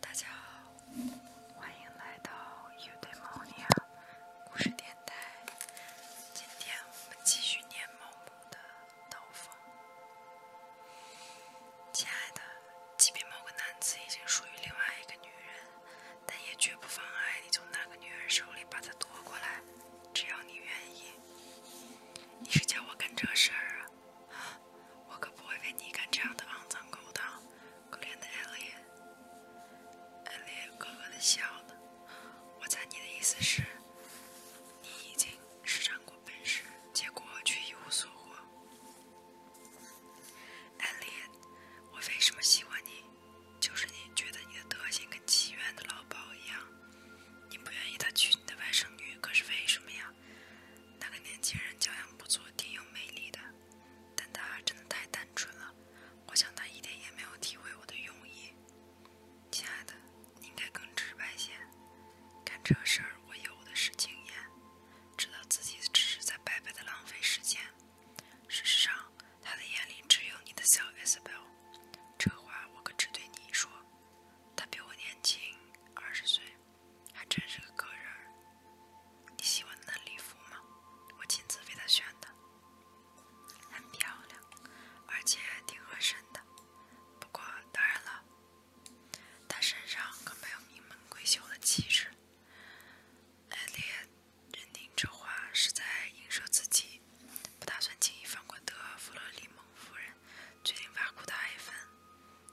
大家好，欢迎来到《有对猫呢》故事电台。今天我们继续念猫母的刀锋。亲爱的，即便某个男子已经属于另外一个女人，但也绝不妨碍你从那个女人手里把他夺过来，只要你愿意。你是叫我干这事儿啊？我可不会为你干这样的肮脏勾当，可怜的艾莲。艾莲咯咯的笑了。我猜你的意思是，你已经施展过本事，结果却一无所获。艾莲，我为什么喜欢你？就是你觉得你的德行跟妓院的老鸨一样。你不愿意他娶你的外甥女，可是为什么呀？那个年轻人教养不错，挺有魅力的，但他真的太单纯了。我想他一点也没有体会我的用意。亲爱的，你应该更直白些。干这事儿我有的是经验，知道自己只是在白白的浪费时间。事实上，他的眼里只有你的小 S L。这话我可只对你说。他比我年轻二十岁，还真是个个人。你喜欢的礼服吗？我亲自为他选的，很漂亮，而且挺合身的。不过，当然了，他身上可没有名门闺秀的气质。艾丽亚认定这话是在影射自己。不打算轻易放过德弗洛里蒙夫人，决定挖苦他一芬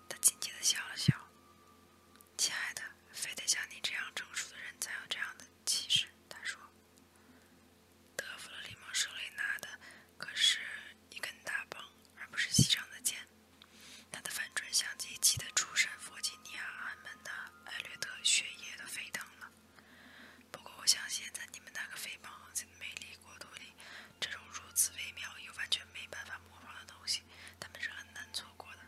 他亲切地笑了笑：“亲爱的，非得像你这样成熟的人才有这样的气势。”他说。德弗洛里蒙手里拿的可是—一根大棒，而不是膝上的剑。他的反转相机气得出身弗吉尼亚安门的艾略特血液都沸腾了。不过，我相信，在你们那个肥胖、美丽国度里，这种如此微妙又完全没办法模仿的东西，他们是很难错过的。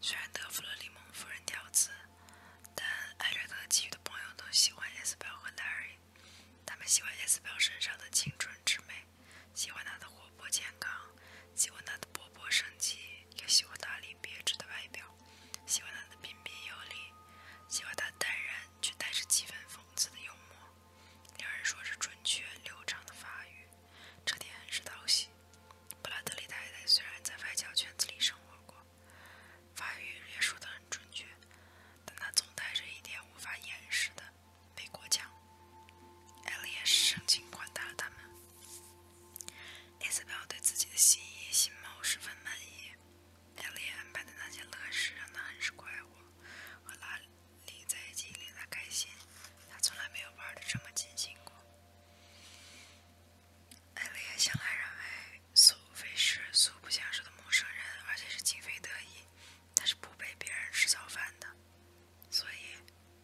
虽然德芙勒·里蒙夫人调刺，但艾略特其余的朋友都喜欢 e s 伊丝 l 和 Larry，他们喜欢 e s 伊丝 l 身上的青春之美，喜欢她的活泼健康，喜欢她的勃勃生机，也喜欢她那别致的外表。喜欢他的彬彬有礼，喜欢他淡然却带着几分讽刺的幽默。两人说着准确流畅的法语，这点很是讨喜。布拉德利太太虽然在外交圈子里生活过，法语也说得很准确，但她总带着一点无法掩饰的美国腔。艾莉也是盛情款待了他们。Isabel 对自己的新衣新帽十分满意。艾丽安排的那些乐事让她很是快活，和拉里在一起令她开心，她从来没有玩的这么尽兴过。艾丽安向来认为苏菲是素不相识的陌生人，而且是情非得已，她是不陪别人吃早饭的，所以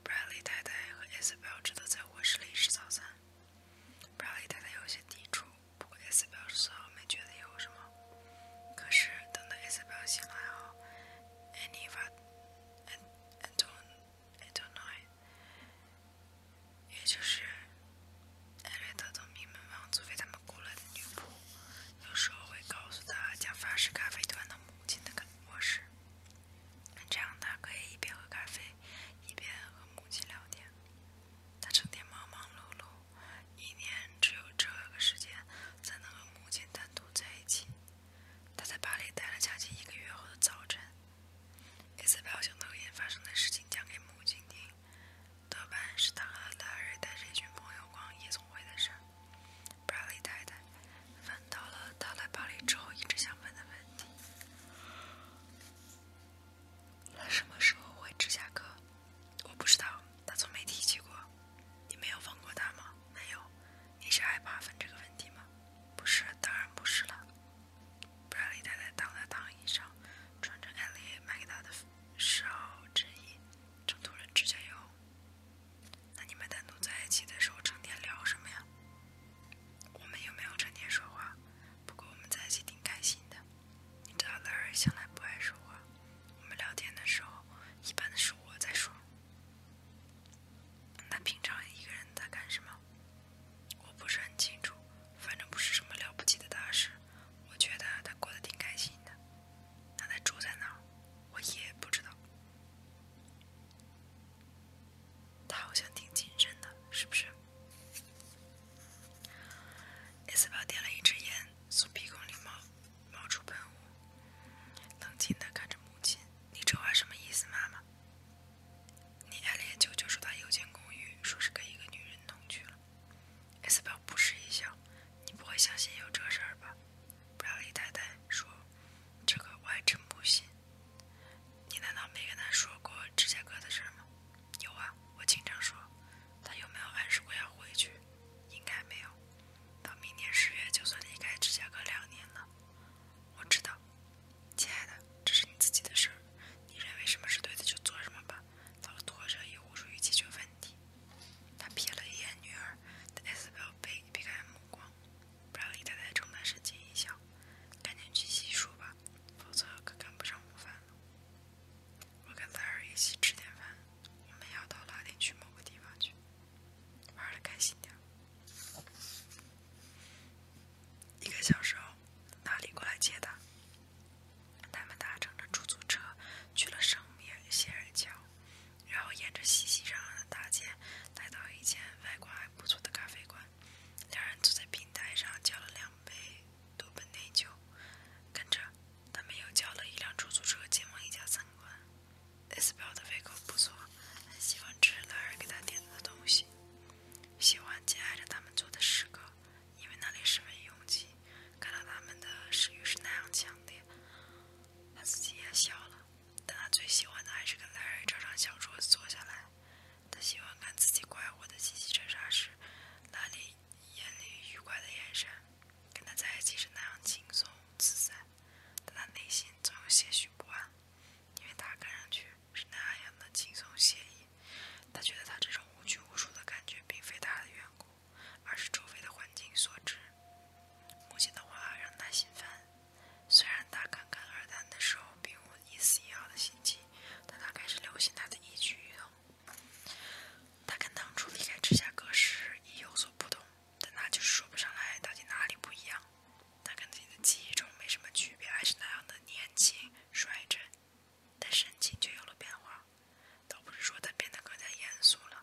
Bradley 太太和 Isabel 只得在卧室里吃早餐。布劳利太太有些抵触，不过艾斯表示丝毫没觉得有什么。可是等到艾斯表示醒来后，艾妮瓦、埃、埃杜、埃杜奈，也就是艾瑞特的名门望族为他们雇来的女仆，有时候会告诉他将法式咖啡端到母亲的卧室，这样他可以一边喝咖啡。一边和母亲聊天，他成天忙忙碌碌，一年只有这个时间才能和母亲单独在一起。他在巴黎待了将近一个月后的早晨，一次把昨天发生的事情讲给母亲听。德班是他和拉瑞带着一群朋友逛夜总会的事。布拉利太太问到了他来巴黎之后一直想问的问题。他什么时候回芝加哥？我不知道，他从没提起过。你没有问过他吗？没有。你是害怕问这个问题吗？不是，当然不是了。不然李太太躺在躺椅上，穿着艾莉买给她的时候，衬衣，正涂着指甲油。那你们单独在一起的时候，成天聊什么呀？我们也没有成天说话，不过我们在一起挺开心的。你知道，兰儿向来不爱说话，我们聊天的时候，一般都是我在说。那平常一个人在干什么？我不是很清楚，反正不是什么了不起的大事。我觉得他过得挺开心的。那他住在哪儿？我也不知道。他好像挺谨慎的，是不是？艾斯伯点了一支烟，从鼻孔里冒冒出喷雾，冷静地看着母亲：“你这话什么意思，妈妈？”你艾烈舅舅说他有间公寓，说是跟一个女人同居了。艾斯伯不时一笑：“你不会相信有这事儿吧？”布赖利太太说：“这个我还真不信。”你难道没跟他说过芝加哥的事吗？有啊，我经常说。他有没有暗示过要回去？应该没有。到明年十月就算离开芝加哥两年了。我知道，亲爱的，这是你自己的事儿。你认为什么是对的就做什么吧，老拖着也无助于解决问题。他瞥了一眼女儿，但 S 表背避开目光。不让李太太承担神经影响，赶紧去洗漱吧，否则可赶不上午饭了。我跟三儿一起吃点饭，我们要到拉丁区某个地方去，玩的开心点。一个小时后，大力过来接他，他们搭乘着出租车去了圣米歇尔桥，然后沿着熙熙攘攘的大街来到一间。外观还不错的咖啡馆，两人坐在平台上，叫了两杯多本内疚，跟着，他们又叫了一辆出租车，前往一家餐馆。S 表的胃口不错，很喜欢吃两人给他点的东西，喜欢紧挨着他们坐的时刻，因为那里十分拥挤。看到他们的食欲是那样强烈，他自己也笑了。但他最喜欢的还是跟 Larry 这张小桌子坐下来，他喜欢看自己快活的嘻嘻喳喳时，那里眼里愉快的眼神，跟他在一起是那样轻松自在。但他内心总有些许不安，因为他看上去是那样的轻松惬意。他觉得他这种无拘无束的感觉并非他的缘故，而是周围的环境所致。母亲的话让他心烦。虽然他刚刚而谈的时候并无一丝一毫的心机，但他开始留心他的一举一动。他跟当初离开芝加哥时已有所不同，但他就是说不上来到底哪里不一样。他跟自己的记忆中没什么区别，还是那样的年轻、率真，但神情却有了变化。倒不是说他变得更加严肃了。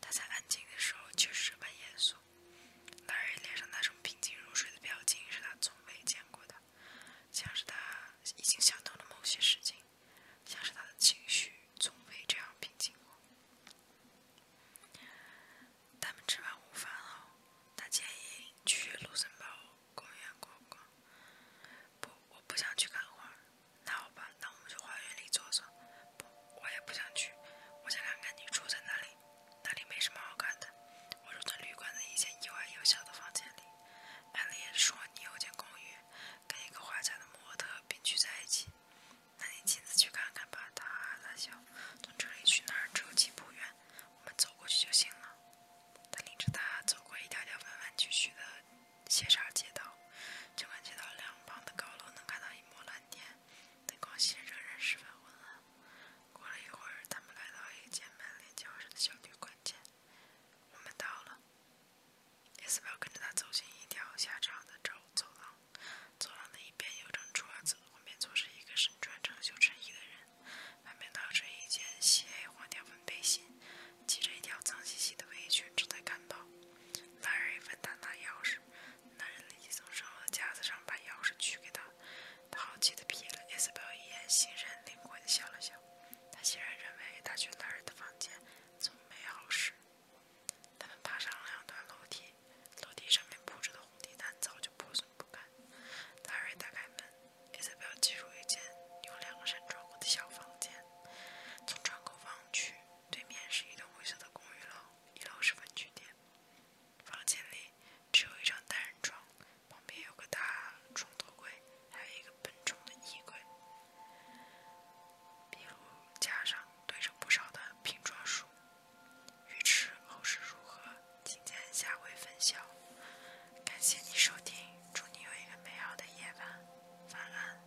他在安静的时候却是这般严肃。男人脸上那种平静如水的表情是他从未见过的，像是他已经想通了某些事情，像是他的情绪从未这样平静过。他们吃完午饭后，他建议去卢森堡公园逛逛。不，我不想去看花。那好吧，那我们去花园里坐坐。不，我也不想去。我想看看你住在哪里，那里没什么好看的。我住在旅馆的一间又矮又小的房间里。安妮说你有间公寓，跟一个画家的模特并居在一起。那你亲自去看看吧。他哈哈笑。从这里去那儿只有几步远，我们走过去就行了。他领着他走过一条条弯弯曲曲的斜沙街道，就看街道两旁的高楼能看到一抹蓝天。灯光熄着，人十分昏暗。过了一会儿，他们来到一间满脸较深的小旅馆前。我们到了，艾斯表跟着他走进一条狭长的走走廊。走廊的一边有张桌子，旁边坐着一个身穿长袖衬衣的人，旁边套着一件细黑黄条纹背心，系着一条脏兮兮的围裙，正在赶跑。男人问他拿钥匙。男人立即从身后的架子上把钥匙取给他，他好奇地瞥了艾斯表一眼，欣然、领会地笑了笑。他显然认为他去男人的房间总没好事。他们爬上了两段楼梯，楼梯上面铺着的红地毯早就破损不堪。达瑞打开门，艾斯表挤入一间有两个扇窗户的小房间，从窗口望去。对面是一栋灰色的公寓楼，一楼是分居点。房间里只有一张单人床，旁边有个大床头柜，还有一个笨重的衣柜。壁炉架上堆着不少的拼装书。欲知后事如何，请见下回分晓。感谢你收听，祝你有一个美好的夜晚，晚安。